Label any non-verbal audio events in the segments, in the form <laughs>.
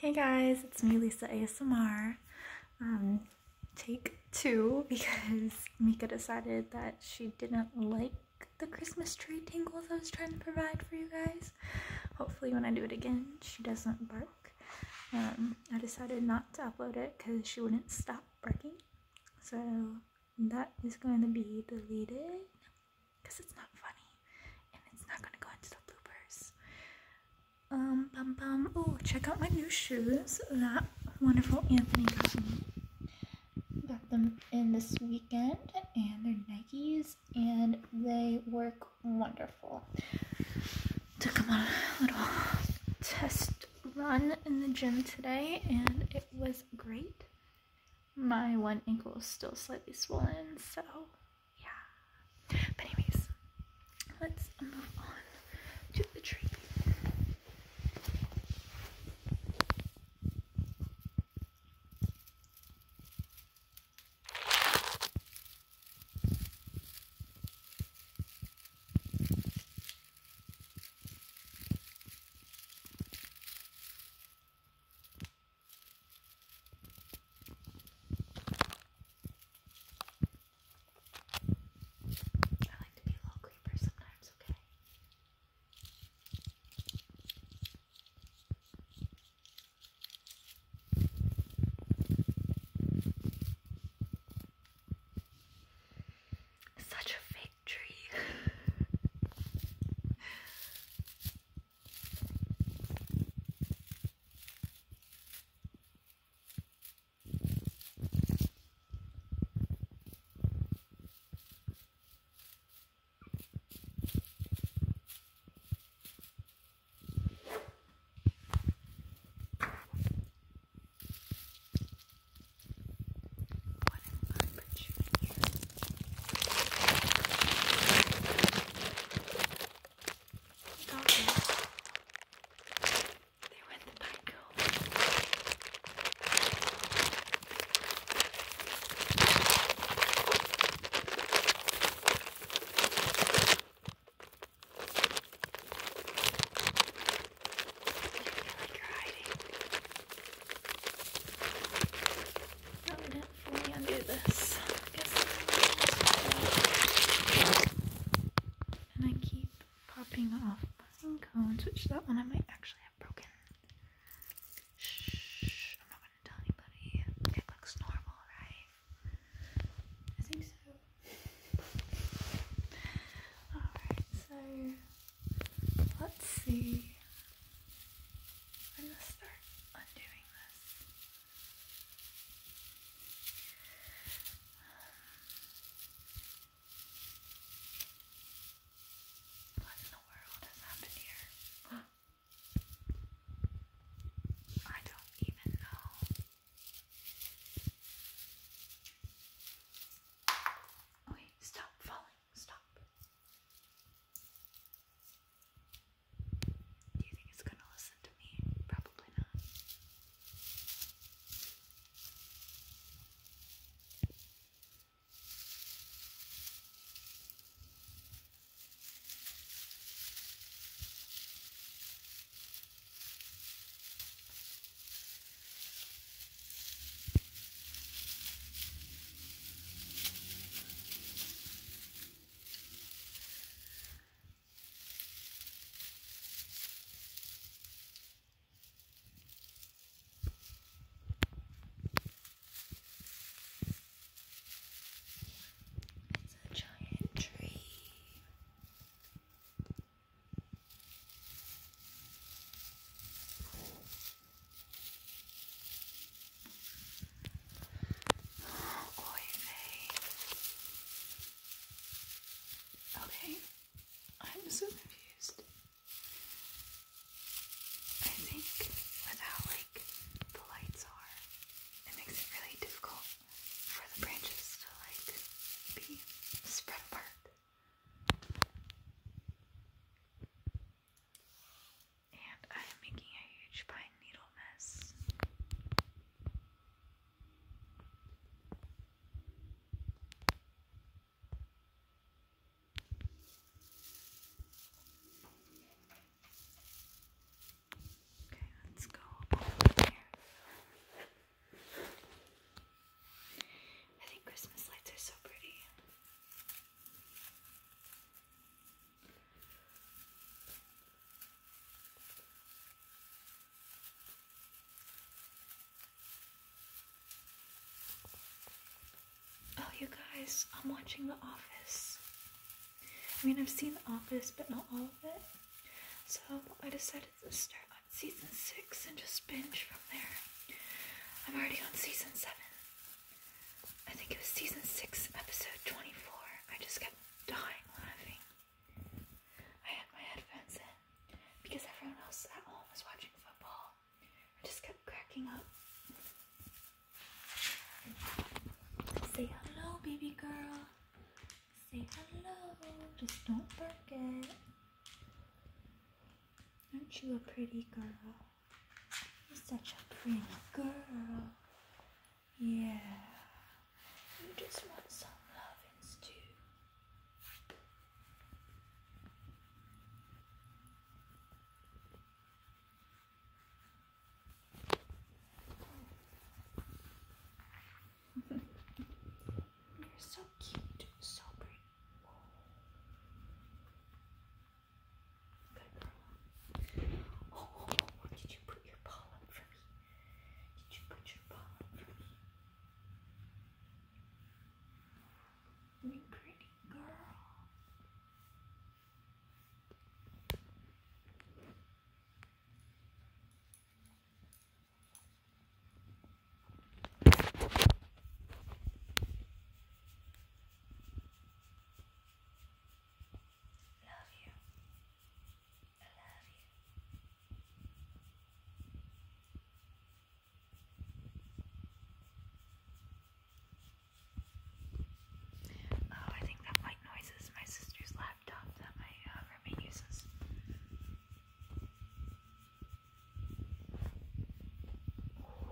Hey guys, it's me Lisa ASMR. Um, take two <laughs> because Mika decided that she didn't like the Christmas tree tingles I was trying to provide for you guys. Hopefully when I do it again, she doesn't bark. Um, I decided not to upload it because she wouldn't stop barking. So that is going to be deleted because it's not funny and it's not gonna go into the bloopers. Um, bum bum. Oh, check out my new shoes that wonderful Anthony got me. Got them in this weekend, and they're Nikes, and they work wonderful. Took them on a little test run in the gym today, and it was great. My one ankle is still slightly swollen, so yeah. But anyways, let's move on to the tree. I like to be a little creeper sometimes, okay? Such a fake tree. <laughs> What if I put you in here? There went the pico. You feel like you're hiding. How did we undo this? and I keep popping off cones, which that one I might actually have broken. Shh, I'm not gonna tell anybody. It looks normal, right? I think so. Alright, so let's see. I'm going to start undoing this. Um, what in the world has happened here? I don't even know. Wait, stop falling. Stop. Do you think it's gonna listen to me? Probably not. It's a giant tree. Oh, okay, I'm so confused. I think with like the lights are, it makes it really difficult for the branches to like be spread apart. And I am making a huge pine needle mess. Okay, let's go I think Christmas lights are so pretty. Oh, you guys, I'm watching The Office. I mean, I've seen The Office, but not all of it. So I decided to start on season six and just binge from there. I'm already on season seven. I think it was season 6, episode 24. I just kept dying laughing. I had my headphones in because everyone else at home was watching football. I just kept cracking up. Say hello, baby girl. Say hello. Just don't bark it. Aren't you a pretty girl? You're such a pretty girl. Yeah. You just want some lovin', too. <laughs> You're so cute, so pretty. Good girl. Oh, did you put your paw up for me? Did you put your paw up for me? You pretty girl. Love you. Oh, I think that white noise is my sister's laptop that my uh, roommate uses.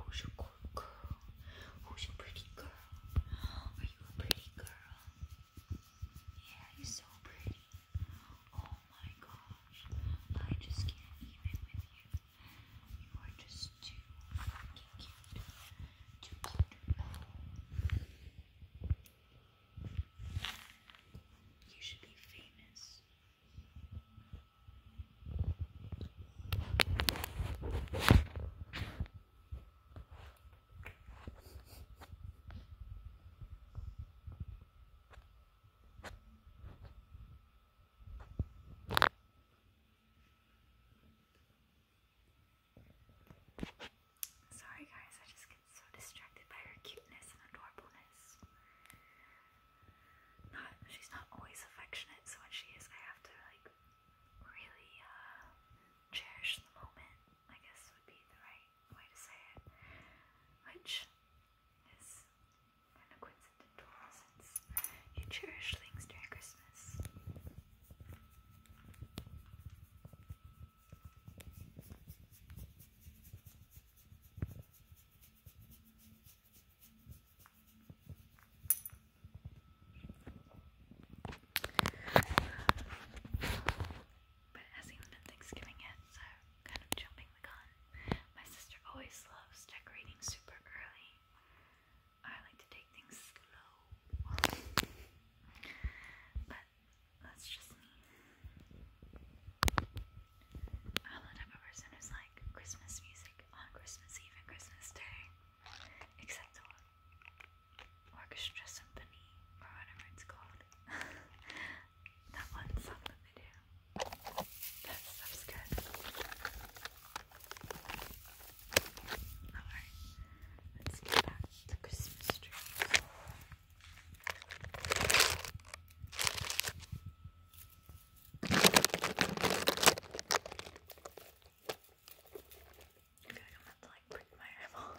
Who's your good girl? Who's your pretty girl? Are you a pretty girl? Yeah, you're so pretty. Oh my gosh. I just can't even with you. You are just too fucking cute. Too cute. You should be famous. Sorry guys, I just get so distracted by her cuteness and adorableness not she's not always affectionate, so when she is I have to like really uh, cherish the moment, I guess would be the right way to say it. Which is kind of coincidental since you cherish things during Christmas. But it hasn't been Thanksgiving yet, so kind of jumping the gun. My sister always loves decorating super early. I like to take things slow. but that's just me. I'm the type of person like Christmas music on Christmas Eve and Christmas Day, except for Orchestra Symphony or whatever it's called. <laughs> that one song that they do. That stuff's good. Alright, let's get back to Christmas trees. I feel like I'm about to like break my eyeball.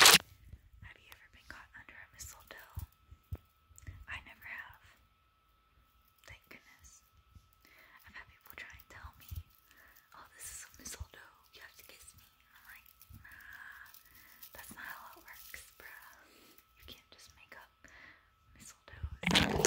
Have you ever been caught under a mistletoe? I never have. Thank goodness. I've had people try and tell me oh, this is some mistletoe, you have to kiss me. I'm like, nah, that's not how it works, bruh. You can't just make up mistletoes.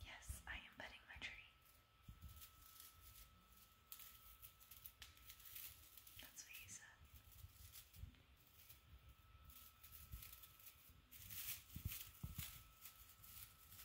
Yes, I am budding my tree. That's what he said.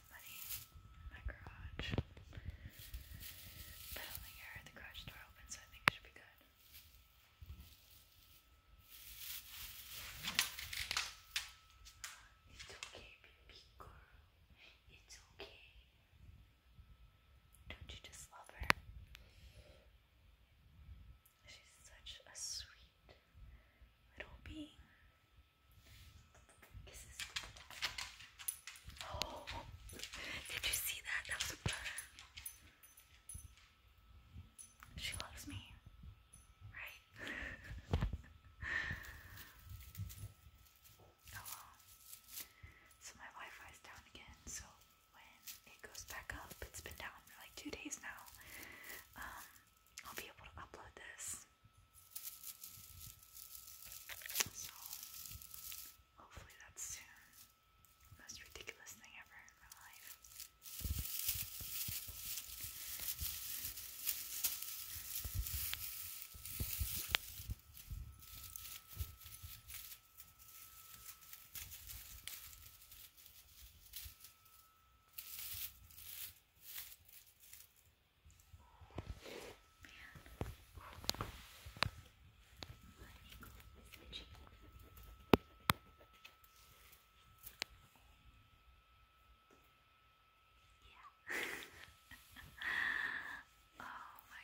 somebody in my garage. But I don't think I heard the garage door open, so I think it should be good. It's okay, baby girl. It's okay. Don't you just love her? She's such a sweet little being. <gasps> did you see that? That was a butter. She loves me. Right? <laughs> oh So my Wi-Fi's down again, so when it goes back up, it's been down for like two days now. Um I'll be able to upload this so, hopefully, that's soon. Most ridiculous thing ever in my life. Yeah. <laughs> oh my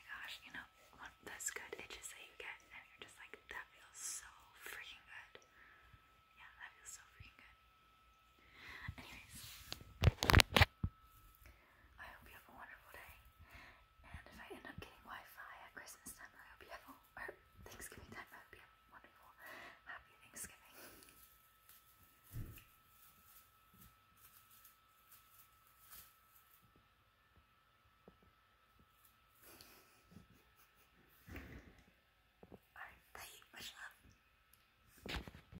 gosh, you know, those good itches that you get, and you're just like, that feels so freaking good. Yeah, that feels so freaking good. Anyways, I hope you have a wonderful day. And if I end up getting Wi-Fi at Christmas time, I hope you have a Thanksgiving time, I hope you have a wonderful, happy Thanksgiving. Alright, bye, much love.